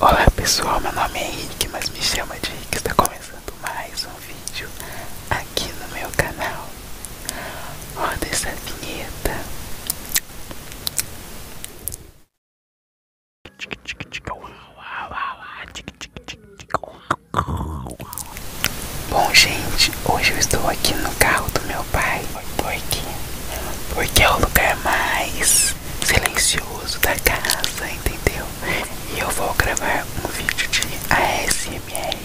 Olá pessoal, meu nome é Henrique, mas me chama de Rick. Está começando mais um vídeo aqui no meu canal. Roda essa vinheta. Bom gente, hoje eu estou aqui no carro do meu pai porque, porque é o lugar mais silencioso da casa, entendeu? E eu vou gravar um vídeo de ASMR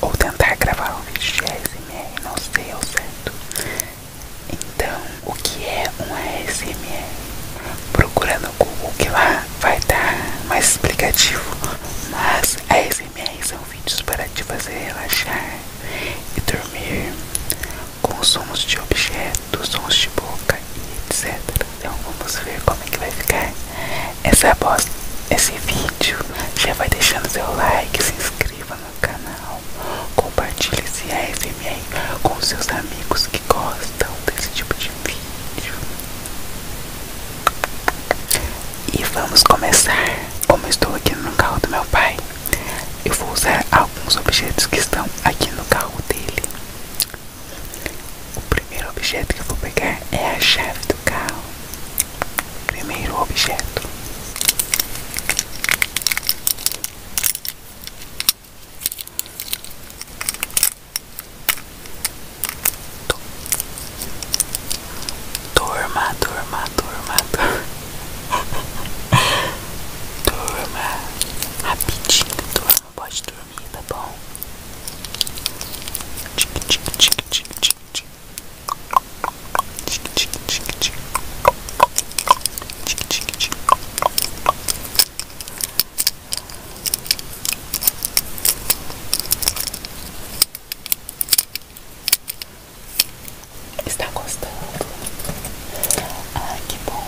Ou tentar gravar um vídeo de ASMR, não sei ao certo Então, o que é um ASMR? Procurando no Google que lá vai dar mais explicativo Mas ASMR são para te fazer relaxar e dormir com sons de objetos, sons de boca e etc. Então vamos ver como é que vai ficar essa voz, esse vídeo. Já vai deixando seu like, se inscreva no canal, compartilhe esse ASMR com seus amigos que gostam desse tipo de vídeo. E vamos começar. Como estou aqui no carro do meu pai, eu vou usar alguns objetos que estão aqui no carro dele. O primeiro objeto que eu vou pegar é a chave do carro. Primeiro objeto dorma dorma dorma dorma dorma Rapidinho, dorma Pode dormir, tá bom? Tic, tic, tic, tic, tic, tic. Tic, tic, tic, tic. Tic, tic, tic. Está gostando? Ai, que bom!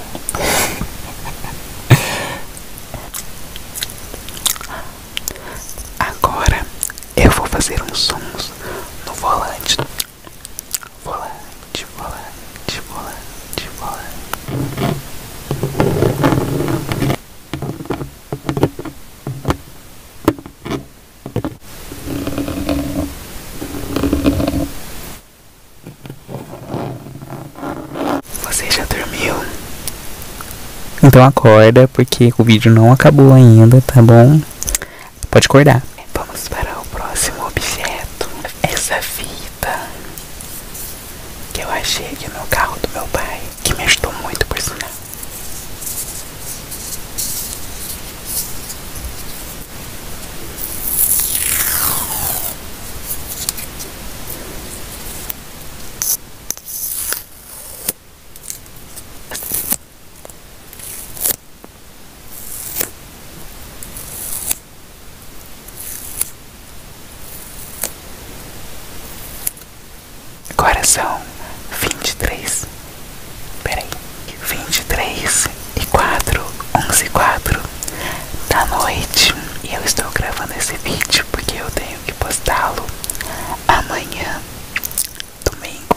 Agora eu vou fazer uns sons no volante. Volante, volante, volante, volante. Você já dormiu? Então acorda, porque o vídeo não acabou ainda, tá bom? Pode acordar. Vamos para o próximo objeto. Essa vida que eu achei aqui no é carro do meu pai, que me ajudou muito por sinal. Agora são vinte e três. Peraí, vinte e três e quatro, onze e quatro da noite. E eu estou gravando esse vídeo porque eu tenho que postá-lo amanhã, domingo.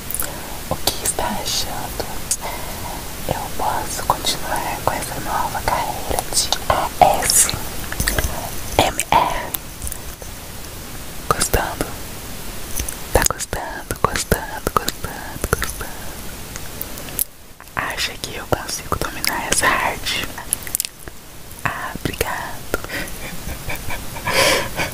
o que está achando. Eu posso continuar com essa nova carreira de ASMR. Gostando? Tá gostando, gostando, gostando, gostando. Acha que eu consigo dominar essa arte? Ah, obrigado.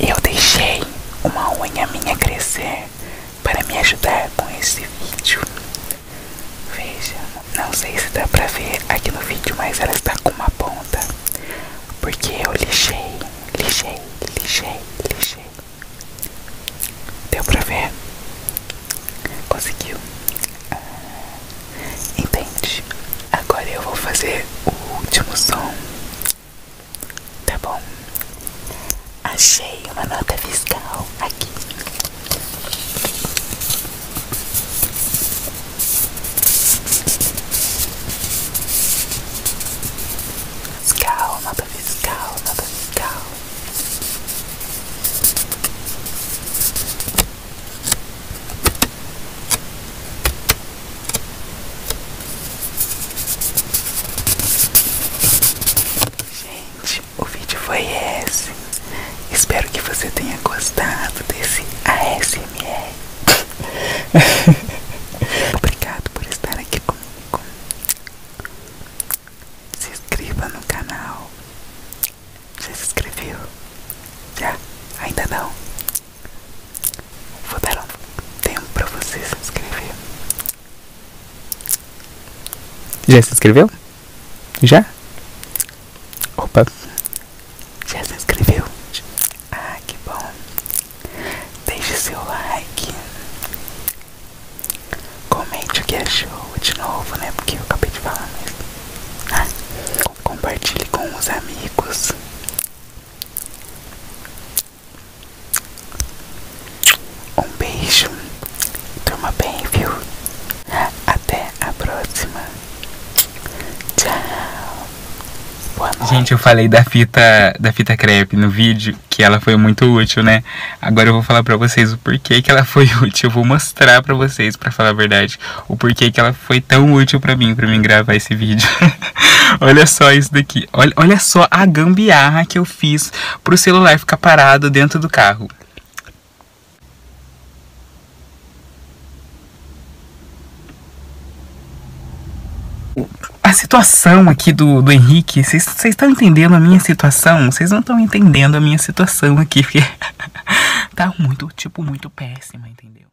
Eu deixei uma unha minha crescer para me ajudar com esse vídeo. Veja, não sei se dá para ver aqui no vídeo, mas ela está com uma ponta. Porque eu lixei, lixei, lixei, lixei. Deu para ver? Conseguiu? Ah, entende? Agora eu vou fazer o último som Tá bom? Achei uma nota fiscal aqui. Fiscal, nota fiscal, nota fiscal. Gente, o vídeo foi esse. Espero que você tenha gostado desse ASMR. Obrigado por estar aqui comigo. Se inscreva no canal. Você se inscreveu? Já? Ainda não? Vou dar um tempo pra você se inscrever. Já se inscreveu? Já? Opa! Já se inscreveu? Ah, que bom! Deixe seu like. Comente o que achou de novo, né? Porque eu acabei de falar mesmo. Ah, compartilhe com os amigos. Um beijo, durma bem, viu? Até a próxima. Tchau. Boa noite. Gente, eu falei da fita, da fita crepe no vídeo que ela foi muito útil, né? Agora eu vou falar para vocês o porquê que ela foi útil. Eu vou mostrar para vocês, para falar a verdade, o porquê que ela foi tão útil para mim, para mim gravar esse vídeo. olha só isso daqui. Olha, olha só a gambiarra que eu fiz pro celular ficar parado dentro do carro. a situação aqui do, do Henrique, vocês estão entendendo a minha situação? Vocês não estão entendendo a minha situação aqui, porque tá muito, tipo, muito péssima, entendeu?